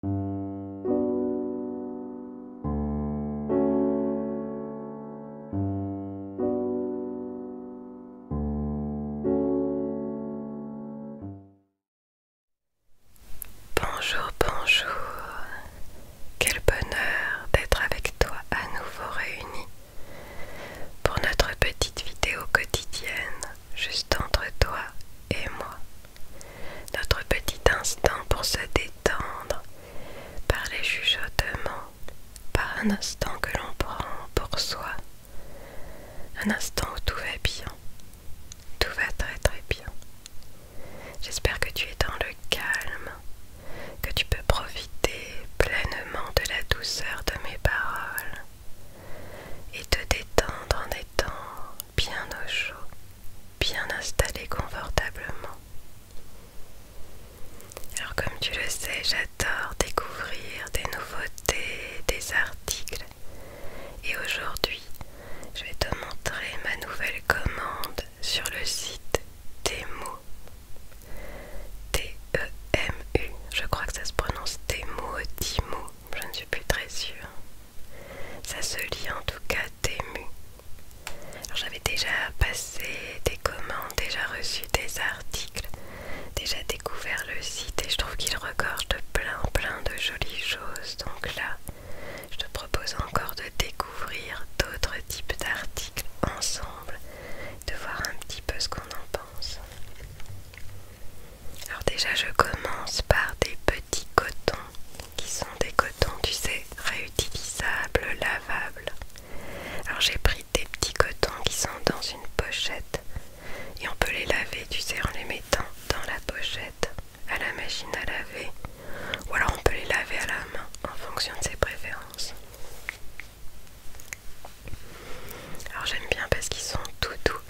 Bonjour, bonjour. Quel bonheur d'être avec toi à nouveau réunis pour notre petite vidéo quotidienne juste entre toi et moi. Notre petit instant pour se détendre par les chuchotements, par un instant que l'on prend pour soi, un instant où tout va bien, tout va très très bien. J'espère que tu es dans le calme, que tu peux profiter pleinement de la douceur de mes paroles et te détendre en étant bien au chaud, bien installé confortablement. Alors comme tu le sais, j'adore découvrir des nouveautés, des articles. Et aujourd'hui, je vais te montrer ma nouvelle commande sur le site Temu. T-E-M-U, je crois que ça se prononce Temu, Timu je ne suis plus très sûre. Ça se lit en tout cas Tému. Alors j'avais déjà passé des commandes, déjà reçu des articles, déjà découvert le site et je trouve qu'il regorge plein plein de jolies choses. Donc là, je te propose encore de découvrir d'autres types d'articles ensemble, de voir un petit peu ce qu'on en pense. Alors déjà je commence par des petits cotons qui sont des cotons tu sais réutilisables, lavables. Alors j'ai pris des petits cotons qui sont dans une pochette et on peut les laver tu sais en les mettant dans la pochette à la machine à laver ou alors on peut les laver à la main en fonction de ses préférences. Alors j'aime bien parce qu'ils sont tout doux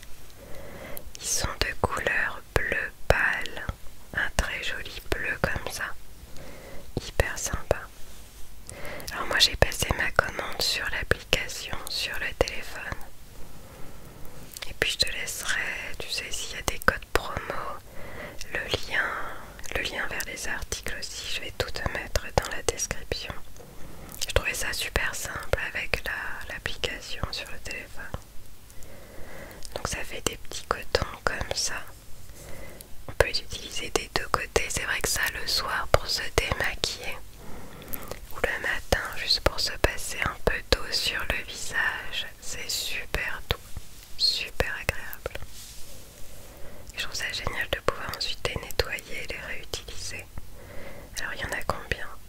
ils sont de couleur bleu pâle, un très joli bleu comme ça, hyper sympa. Alors moi j'ai passé ma commande sur l'application, sur le téléphone. Et puis je te laisserai, tu sais, s'il y a des codes promo, le lien, le lien vers les articles aussi, je vais tout te mettre dans la description. Je trouvais ça super simple avec l'application sur le téléphone. Donc ça fait des petits cotons comme ça. On peut utiliser des deux côtés. C'est vrai que ça le soir pour se démaquiller ou le matin juste pour se passer un peu d'eau sur le visage. C'est super doux, super agréable. je trouve ça génial de pouvoir ensuite les nettoyer et les réutiliser. Alors il y en a combien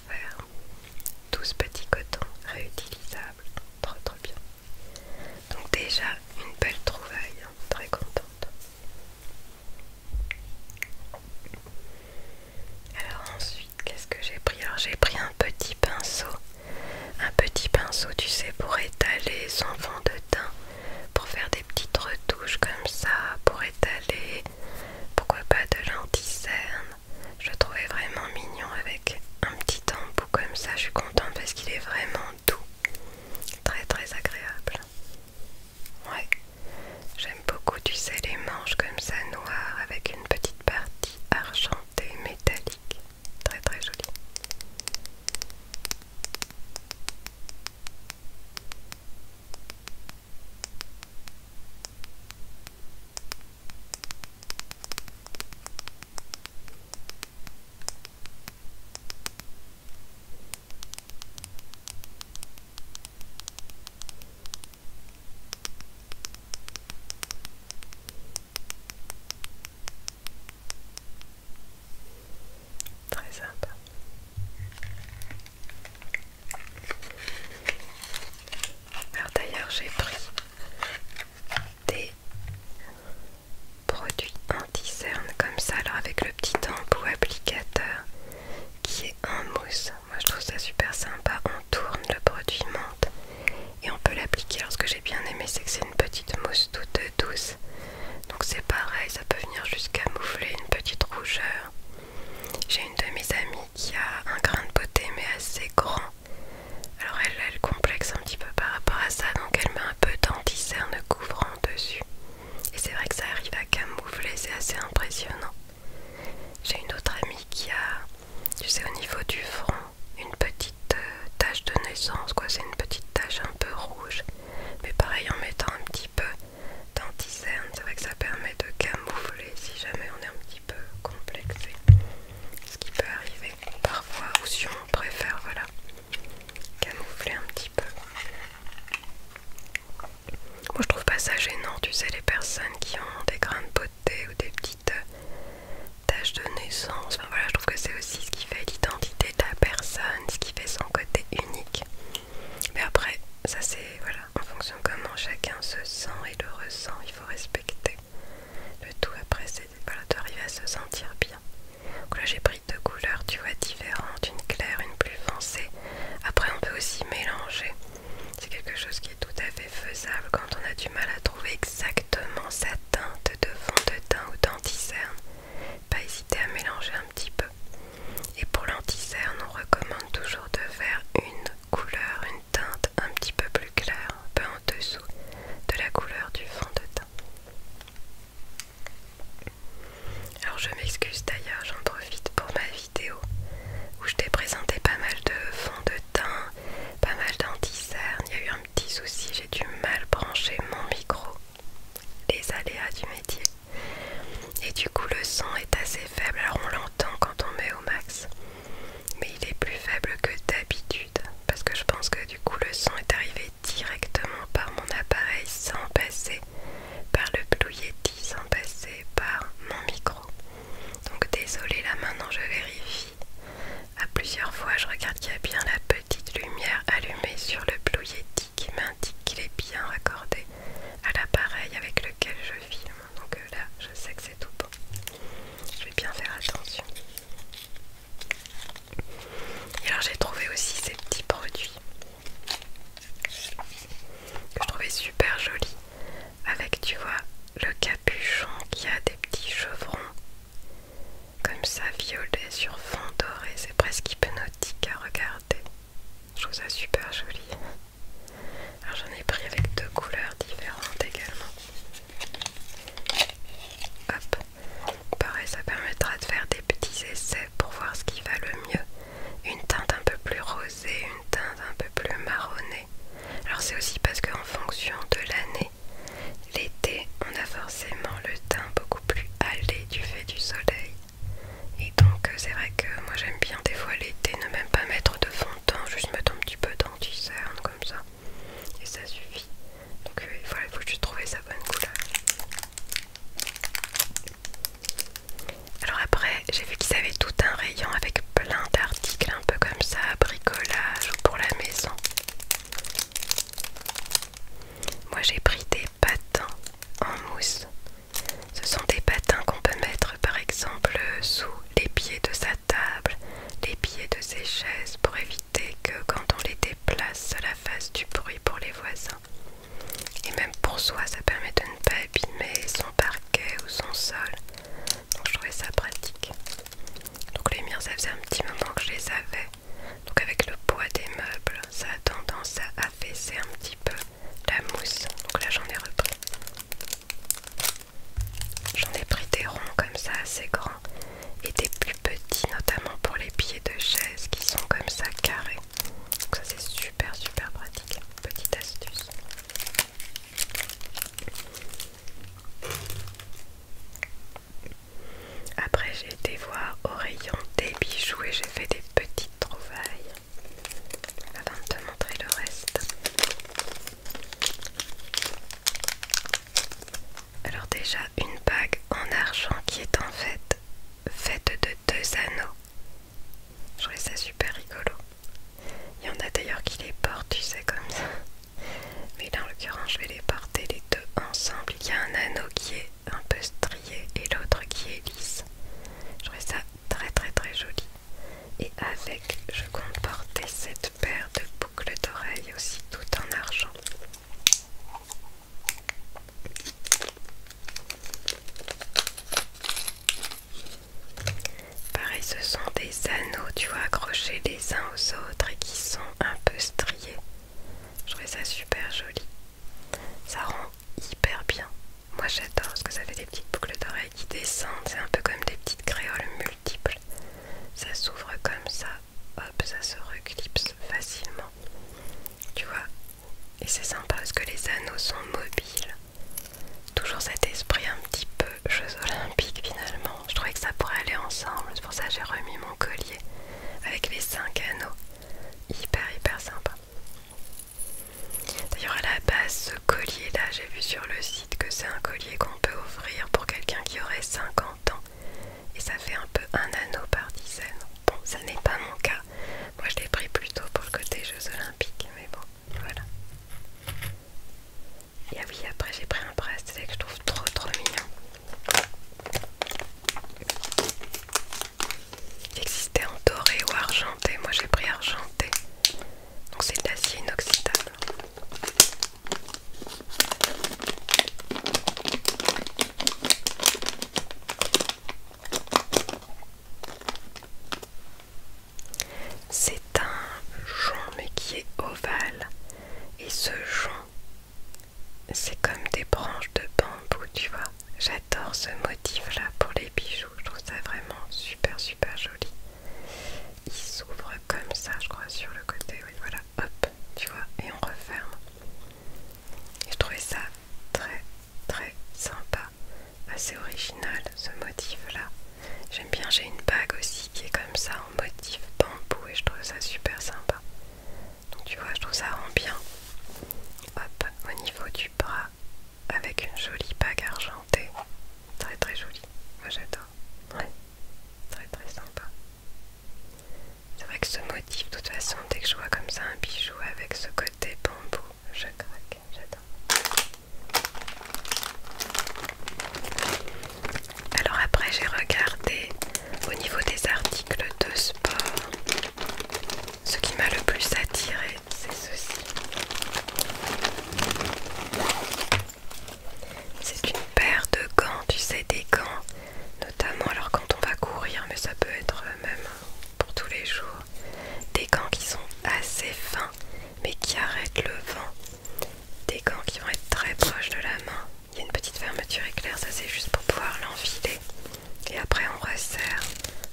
faire. 12 petits cotons réutilisables. Trop trop bien. Donc déjà une belle trouvaille, hein, très contente. Alors ensuite, qu'est-ce que j'ai pris Alors j'ai pris un petit pinceau. Un petit pinceau, tu sais, pour étaler son fond de teint. Pour faire des petites retouches comme ça. Pour étaler, pourquoi pas de l'anticerne. Je le trouvais vraiment mignon avec un petit embout comme ça. Je suis contente parce qu'il est vraiment doux. Très très agréable. Ouais. J'aime beaucoup, tu sais, les manches comme ça noires avec une petite partie argentée métallique. Très très jolie. Très sympa. Alors d'ailleurs j'ai pris des produits anti cernes comme ça, alors avec le petit embout applicateur qui est en mousse. Moi je trouve ça super sympa, on tourne, le produit menthe et on peut l'appliquer. Alors ce que j'ai bien aimé c'est que c'est une petite mousse toute douce. Donc c'est pareil, ça peut venir jusqu'à moufler une petite rougeur. J'ai une de mes amies qui a un grain de beauté mais assez grand. Alors elle, le complexe un petit peu par rapport à ça, donc elle met un peu d'anticerne couvrant dessus. Et c'est vrai que ça arrive à camoufler, c'est assez impressionnant. J'ai une autre amie qui a, tu sais, au niveau du front, une petite euh, tache de naissance, quoi. C'est une petite tache un peu rouge. Mais pareil, en mettant un petit peu d'anticerne, c'est vrai que ça permet de camoufler si jamais on est un petit peu complexé, ce qui peut arriver parfois, ou si on préfère, voilà, camoufler un petit peu. Moi je trouve pas ça gênant, tu sais, les personnes qui ont des grains de beauté ou des petites euh, taches de naissance, enfin voilà, je trouve que c'est aussi ce qui fait l'identité de la personne, ce qui fait son côté unique. Mais après, ça c'est, voilà, en fonction comment chacun se sent et le ressent, il faut respecter le tout après c'est d'arriver à se sentir bien donc là j'ai pris deux couleurs tu vois différentes, une claire, une plus foncée après on peut aussi mélanger c'est quelque chose qui est tout à fait faisable quand on a du mal à trouver exactement sa teinte de fond de teint ou d'anticerne pas hésiter à mélanger un petit peu et pour l'anticerne on recommande toujours de faire une couleur, une teinte un petit peu plus claire, un peu en dessous de la couleur du fond de teint. Alors je m'excuse d'ailleurs, j'en profite pour ma vidéo où je t'ai présenté pas mal de fonds de teint, pas mal danti Il y a eu un petit souci, j'ai dû mal brancher mon micro, les aléas du métier. Et du coup le son est assez faible, alors on l'entend quand on met au max, mais il est plus faible que d'habitude parce que je pense que du coup le son est arrivé directement par mon appareil sans passer par le Blue Yeti, sans passer par mon micro. Donc désolé là maintenant je vérifie. À plusieurs fois je regarde qu'il y a bien la petite lumière allumée sur le Blue Yeti qui m'indique qu'il est bien raccordé à l'appareil avec lequel je filme donc euh, là je sais que c'est tout bon. Je vais bien faire attention. Et alors j'ai trouvé aussi ces petits produits que je trouvais super jolis avec tu vois le capuchon qui a des petits chevrons comme ça violet sur fond doré, c'est presque hypnotique à regarder. Je trouve ça super joli. Alors j'en ai pris avec deux couleurs différentes également. Hop, pareil, ça permettra de faire des petits essais pour voir ce qui va le mieux. Une teinte un peu plus rosée, une teinte un peu plus marronnée. Alors c'est aussi parce qu'en fonction de l'année, l'été, on a forcément le teint beaucoup plus hâlé du fait du soleil. Et donc euh, c'est vrai que moi j'aime bien des fois l'été ne même pas mettre de fond de teint, juste mettre un petit peu danti comme ça. Et ça suffit. Donc voilà, euh, il faut juste trouver sa bonne couleur. Alors après, j'ai vu qu'ils avaient tout un rayon avec plein d'articles un peu comme ça, bricolage pour la maison. Moi j'ai pris des patins en mousse ce sont des patins qu'on peut mettre par exemple sous les pieds de sa table, les pieds de ses chaises pour éviter que quand on les déplace, cela fasse du bruit pour les voisins. Et même pour soi, ça permet de ne pas abîmer son parquet ou son sol. Donc je trouvais ça pratique. Donc les miens, ça faisait un petit moment que je les avais. Donc avec le poids des meubles, ça a tendance à affaisser un petit peu la mousse. Donc là, j'en ai repris. J'en ai pris des ronds comme ça assez grands et des plus petits notamment pour les pieds de chaise qui sont comme ça carrés. Donc ça c'est super super pratique. Petite astuce. Après j'ai été voir au rayon des bijoux et j'ai fait des petites trouvailles avant de te montrer le reste. Alors déjà une bague en argent qui est en fait faite de deux anneaux. Je trouvais ça super rigolo. Il y en a d'ailleurs qui les portent, tu sais, comme ça. Mais là en l'occurrence je vais les porter les deux ensemble. Il y a un anneau qui est un peu strié et l'autre qui est lisse. Je trouvais ça très très très joli. Et avec, je comportais cette paire de boucles d'oreilles aussi, tout en argent. Pareil, ce sont des anneaux, tu vois, accrochés les uns aux autres et qui sont un peu striés. Je trouvais ça super joli. Ça rend hyper bien. Moi j'adore parce que ça fait des petites boucles d'oreilles qui descendent, c'est un peu comme des petites créoles multiples. Ça s'ouvre comme ça, hop, ça se reclipse facilement. Tu vois Et c'est sympa parce que les anneaux sont mobiles. Toujours cet esprit un petit peu Jeux Olympiques finalement. Je trouvais que ça pourrait aller ensemble, c'est pour ça que j'ai remis mon collier avec les cinq anneaux. Hyper hyper sympa. D'ailleurs, à la base, ce collier-là, j'ai vu sur le site que c'est un collier qu'on peut offrir pour quelqu'un qui aurait 50 ans. Et ça fait un peu un anneau par dizaine. Bon, ça n'est pas mon cas. Moi, je l'ai pris plutôt pour le côté Jeux Olympiques, mais bon, voilà. Et ah oui, après, j'ai pris un bracelet que je trouve trop trop mignon existait en doré ou argenté. Moi j'ai pris argenté. Donc c'est de l'acier inoxydable. C'est un jonc mais qui est ovale. Et ce jonc, c'est comme des branches de bambou, tu vois j'adore ce motif là pour les bijoux, je trouve ça vraiment super super joli. Il s'ouvre comme ça, je crois, sur le côté, oui, voilà, hop, tu vois, et on referme. Et je trouvais ça très très sympa, assez original ce motif là. J'aime bien, j'ai une bague aussi qui est comme ça en motif bambou et je trouve ça super sympa. Donc tu vois, je trouve ça rend bien. Hop, au niveau du bras, avec une jolie bague argentée, très très jolie, moi j'adore, très très sympa. C'est vrai que ce motif, de toute façon, dès que je vois comme ça un bijou avec ce côté bambou, je craque, j'adore. Alors après j'ai regardé au niveau des articles de sport, ce qui m'a le plus attiré c'est ceci. C'est une paire de gants, tu sais, des gants, notamment alors quand on va courir, mais ça peut être euh, même pour tous les jours. Des gants qui sont assez fins, mais qui arrêtent le vent. Des gants qui vont être très proches de la main. Il y a une petite fermeture éclair, ça c'est juste pour pouvoir l'enfiler et après on resserre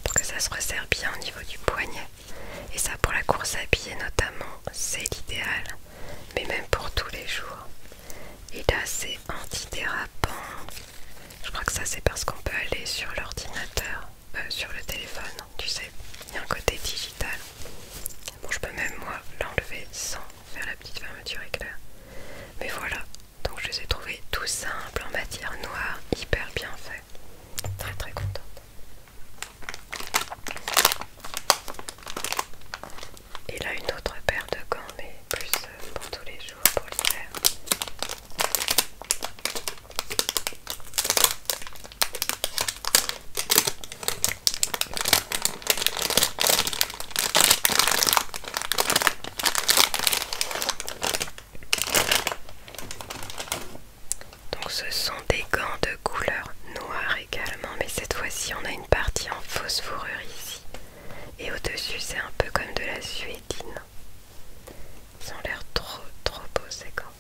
pour que ça se resserre bien au niveau du poignet et ça pour la course à pied notamment c'est l'idéal mais même pour tous les jours et là c'est antidérapant je crois que ça c'est parce qu'on peut aller sur l'ordinateur euh, sur le téléphone tu sais il y a un côté digital bon je peux même moi l'enlever sans faire la petite fermeture éclair mais voilà donc je les ai trouvés tout simples en matière noire, hyper bien fait. Très très contente. Et là une autre paire de gants mais plus euh, pour tous les jours, pour l'hiver. Donc ce sont des gants de couleur noire également, mais cette fois-ci on a une partie en fausse fourrure ici. Et au-dessus c'est un peu comme de la suédine. Ils ont l'air trop trop beaux ces gants.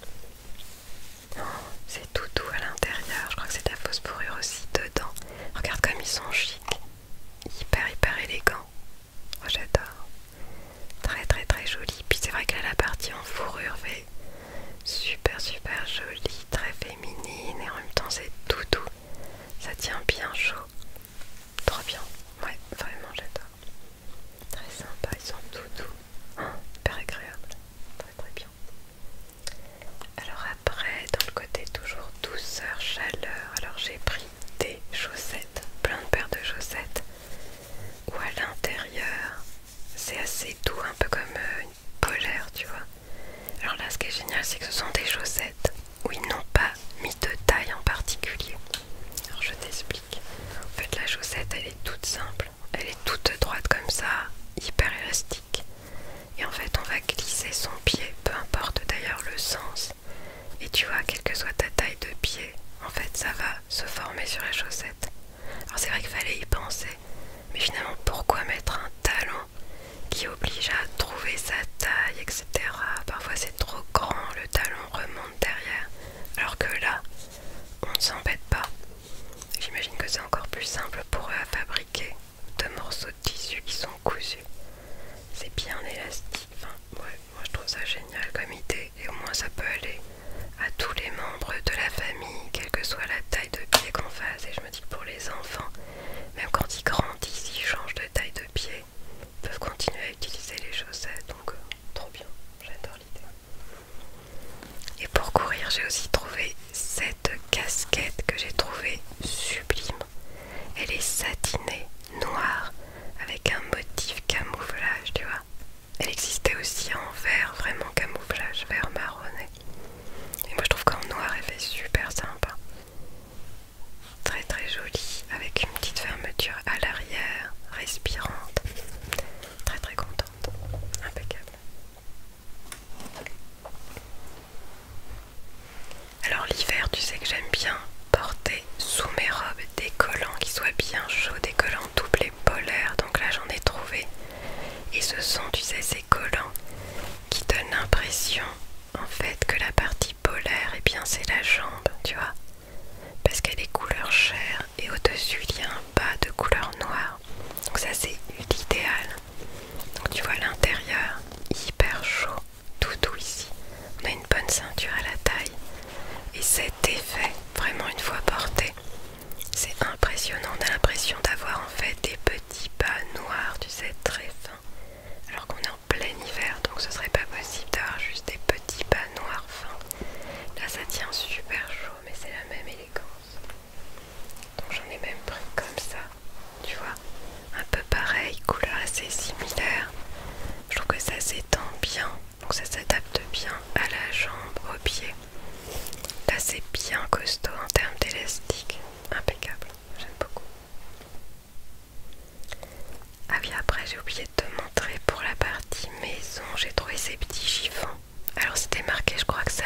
Oh, c'est tout doux à l'intérieur, je crois que c'est de la fausse fourrure aussi dedans. Regarde comme ils sont chics, hyper hyper élégants. Oh, j'adore. Très très très jolie. Puis c'est vrai qu'elle a la partie en fourrure fait super super jolie, très féminine et en même temps c'est tout doux. Ça tient bien chaud. Trop bien. Ouais, vraiment j'adore. Très sympa, ils sont tout doux. Oh, hyper agréable. Très très bien. Alors après, dans le côté toujours douceur, chaleur, alors j'ai pris des chaussettes, plein de paires de chaussettes, où à l'intérieur c'est assez doux, un peu comme euh, une polaire, tu vois. Alors là, ce qui est génial, c'est que ce sont des chaussettes où ils n'ont pas mis de taille en particulier. Alors je t'explique. En fait, la chaussette, elle est toute simple, elle est toute droite comme ça, hyper élastique. Et en fait, on va glisser son pied, peu importe d'ailleurs le sens et tu vois, quelle que soit ta taille de pied, en fait, ça va se former sur les chaussettes. Alors c'est vrai qu'il fallait y penser, mais finalement, pourquoi mettre un talon qui oblige à trouver sa taille, etc. Parfois c'est trop grand, le talon remonte derrière, alors que là, on ne s'embête pas. J'imagine que c'est encore plus simple pour eux à fabriquer de morceaux de tissu qui sont cousus. C'est bien élastique, Ouais, moi je trouve ça génial comme idée et au moins ça peut aller à tous les membres de la famille, quelle que soit la taille de pied qu'on fasse. Et je me dis que pour les enfants, même quand ils grandissent, ils changent de taille de pied, ils peuvent continuer à utiliser les chaussettes. Donc, euh, trop bien, j'adore l'idée. Et pour courir, j'ai aussi trouvé cette casquette que j'ai trouvée sublime. Elle est satinée, noire, avec un motif camouflage, tu vois. Elle existait aussi en vert, vraiment camouflage, vert marronné. Et moi je trouve qu'en noir elle fait super sympa. Très très jolie, avec une petite fermeture à l'arrière, respirante. Très très contente, impeccable. Alors l'hiver, tu sais que j'aime bien porter sous mes robes des collants qui soient bien chauds, des collants doublés polaires. Donc là, j'en ai trouvé. Et ce sont, tu sais, ces collants qui donnent l'impression, en fait, que la partie polaire, et eh bien, c'est la jambe, tu vois. Parce qu'elle est couleur chair et au-dessus, il y a un bas de couleur noire. Donc ça, c'est l'idéal. Donc tu vois l'intérieur hyper chaud tout doux ici. On a une bonne ceinture à la taille. Et cet effet, vraiment une fois porté, c'est impressionnant. On a l'impression d'avoir en fait des petits pas noirs, tu sais, très fins. Alors qu'on est en plein hiver, donc ce serait pas possible d'avoir juste des petits pas noirs fins. Là ça tient super chaud, mais c'est la même élégance. Donc j'en ai même pris comme ça tu vois, un peu pareil, couleur assez similaire. Je trouve que ça s'étend bien, donc ça s'adapte bien à la jambe, au pied. Là c'est bien costaud en termes d'élastique, impeccable, j'aime beaucoup. Ah oui, après j'ai oublié de te montrer pour la partie maison, j'ai trouvé ces petits chiffons. Alors c'était marqué, je crois que ça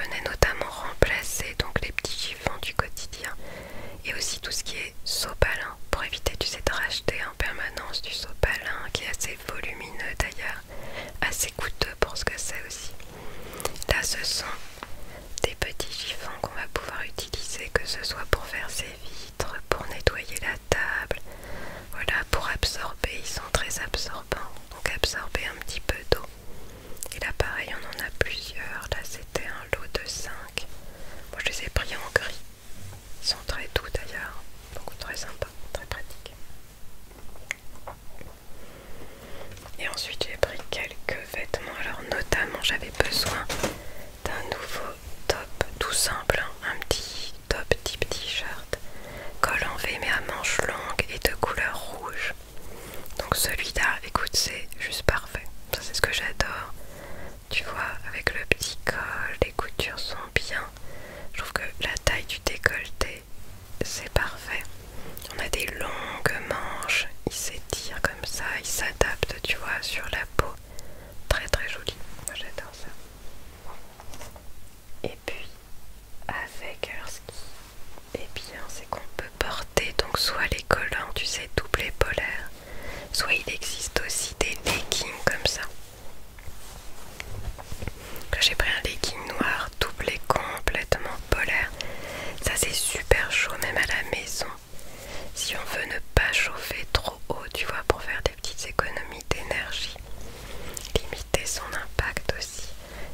venait notamment remplacer donc les petits du quotidien et aussi tout ce qui est sopalin pour éviter de sais de racheter en permanence du sopalin qui est assez volumineux d'ailleurs assez coûteux pour ce que c'est aussi là ce sont des petits chiffons qu'on va pouvoir utiliser que ce soit pour faire ses vitres pour nettoyer la table voilà pour absorber ils sont très absorbants donc absorber un petit peu d'eau et là pareil on en a plusieurs là c'était un lot de 5 moi je les ai pris en gris. Ils sont très doux d'ailleurs, donc très sympa, très pratique. Et ensuite j'ai pris quelques vêtements. Alors notamment j'avais besoin d'un nouveau top tout simple, hein. un petit top type t-shirt, col en V mais à manches longues et de couleur rouge. Donc celui-là, écoute, c'est juste parfait. Ça c'est ce que j'adore tu vois avec le petit col les coutures sont bien je trouve que la taille du décolleté c'est parfait on a des longues manches il s'étire comme ça il s'adapte tu vois sur la peau très très joli moi j'adore ça et puis avec ski, et eh bien c'est qu'on peut porter donc soit les collants, tu sais, doublés polaire, soit il existe aussi des leggings comme ça. j'ai pris un legging noir doublé complètement polaire. Ça c'est super chaud même à la maison. Si on veut ne pas chauffer trop haut, tu vois, pour faire des petites économies d'énergie, limiter son impact aussi,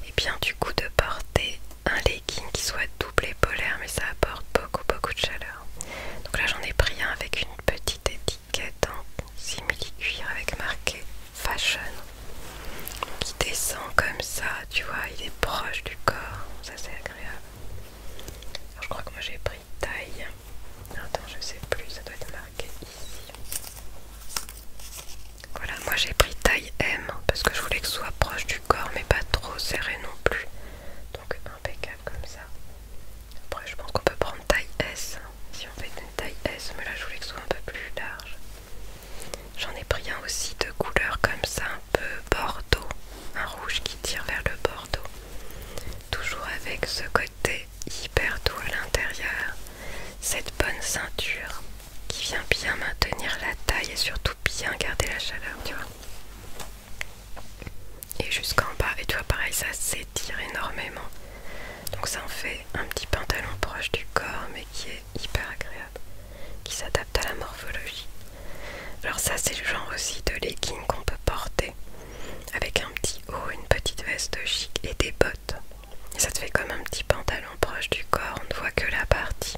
et bien du coup de porter un legging qui soit double et polaire mais ça apporte beaucoup beaucoup de chaleur donc là j'en ai pris un avec une petite étiquette en simili cuir avec marqué fashion qui descend comme ça tu vois il est proche du corps ça c'est agréable je crois que moi j'ai pris taille attends je sais plus ça doit être marqué ici voilà moi j'ai pris taille M parce que je voulais que ce soit proche du corps mais pas trop serré non plus donc impeccable comme ça après je pense qu'on peut prendre taille S si on fait une taille S mais là je voulais que ce soit un peu plus large j'en ai pris un aussi de couleur comme ça un peu bordeaux un rouge qui tire vers le bordeaux toujours avec ce côté hyper doux à l'intérieur cette bonne ceinture qui vient bien maintenir la taille et surtout bien garder la chaleur tu vois et jusqu'en bas et tu vois pareil ça s'étire énormément donc ça en fait un petit pantalon proche du corps mais qui est hyper agréable qui s'adapte à la morphologie alors ça c'est le genre aussi de leggings qu'on peut porter avec un petit haut, une petite veste chic et des bottes et ça te fait comme un petit pantalon proche du corps on ne voit que la partie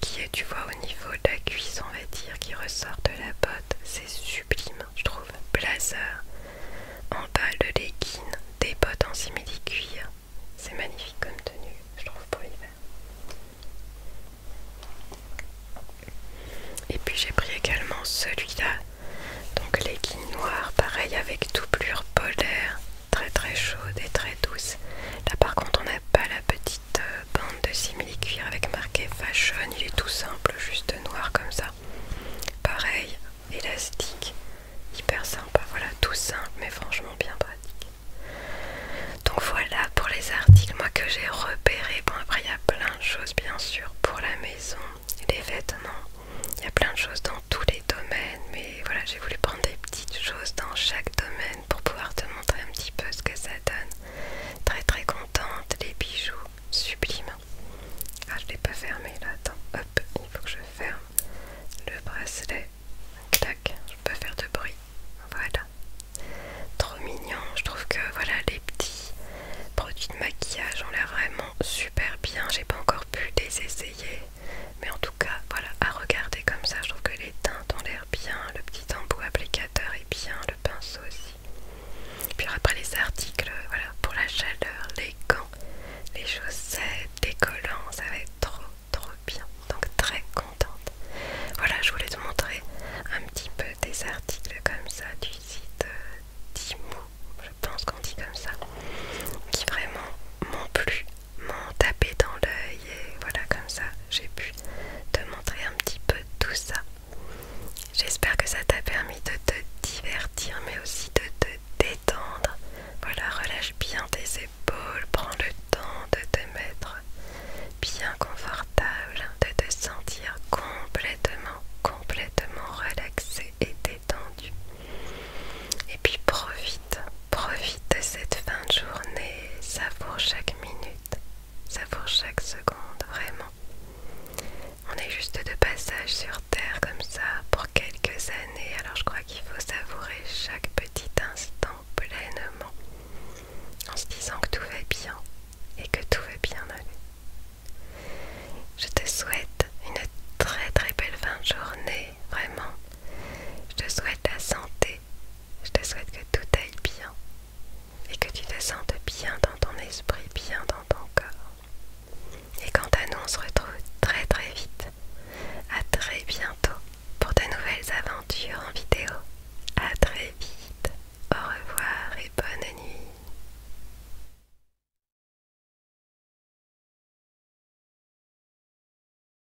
qui est, tu vois, au niveau de la cuisse, on va dire, qui ressort de la botte. C'est sublime, je trouve. Blazer, en bas de legging, des bottes en simili-cuir. C'est magnifique comme tenue, je trouve, pour l'hiver. Et puis j'ai pris également celui-là, donc legging noir, pareil avec doublure polaire, très très chaude et très douce. Là par contre on n'a pas la petite bande euh, de simili cuir avec marqué fashion. Il est tout simple, juste noir comme ça. Pareil, élastique, hyper sympa. Voilà, tout simple, mais franchement bien pratique. Donc voilà pour les articles, moi que j'ai repéré. Bon après il y a plein de choses bien sûr pour la maison, les vêtements. Il y a plein de choses dans tous les domaines, mais voilà, j'ai voulu prendre des petites choses dans chaque domaine pour pouvoir te montrer un petit peu ce que ça donne. Très très contente, les bijoux sublimes. Ah, je l'ai pas fermé là, attends, hop, il faut que je ferme le bracelet. Clac, je peux faire de bruit. Voilà. Trop mignon, je trouve que voilà les petits produits de maquillage ont l'air vraiment super bien. J'ai pas encore pu les essayer, mais en tout cas, voilà, à regarder comme ça, je trouve que les teintes ont l'air bien le petit embout applicateur et bien le pinceau aussi. Puis après les articles, voilà, pour la chaleur, les gants, les chaussettes, les collants, ça va être trop trop bien. Donc très contente. Voilà, je voulais te montrer un petit peu des articles comme ça du site Timo, euh, je pense qu'on dit comme ça, qui vraiment m'ont plu m'ont tapé dans l'œil et voilà comme ça j'ai pu te montrer un petit peu tout ça. J'espère que ça t'a permis de te divertir mais aussi de te détendre. Voilà, relâche bien tes épaules, prends le temps de te mettre bien confortable, de te sentir complètement, complètement relaxé et détendu. Et puis profite Profite de cette fin de journée, savoure chaque minute, savoure chaque seconde, vraiment. On est juste de passage sur Terre comme ça pour quelques années, alors je crois qu'il faut savourer chaque petit instant pleinement, en se disant que tout va bien et que tout va bien aller. Je te souhaite une très très belle fin de journée, vraiment. Je te souhaite la santé, je te souhaite que tout aille bien et que tu te sentes bien dans ton esprit, bien dans ton corps. Et quant à nous, on se retrouve très très vite. À très bientôt pour de nouvelles aventures en vidéo. À très vite. Au revoir et bonne nuit.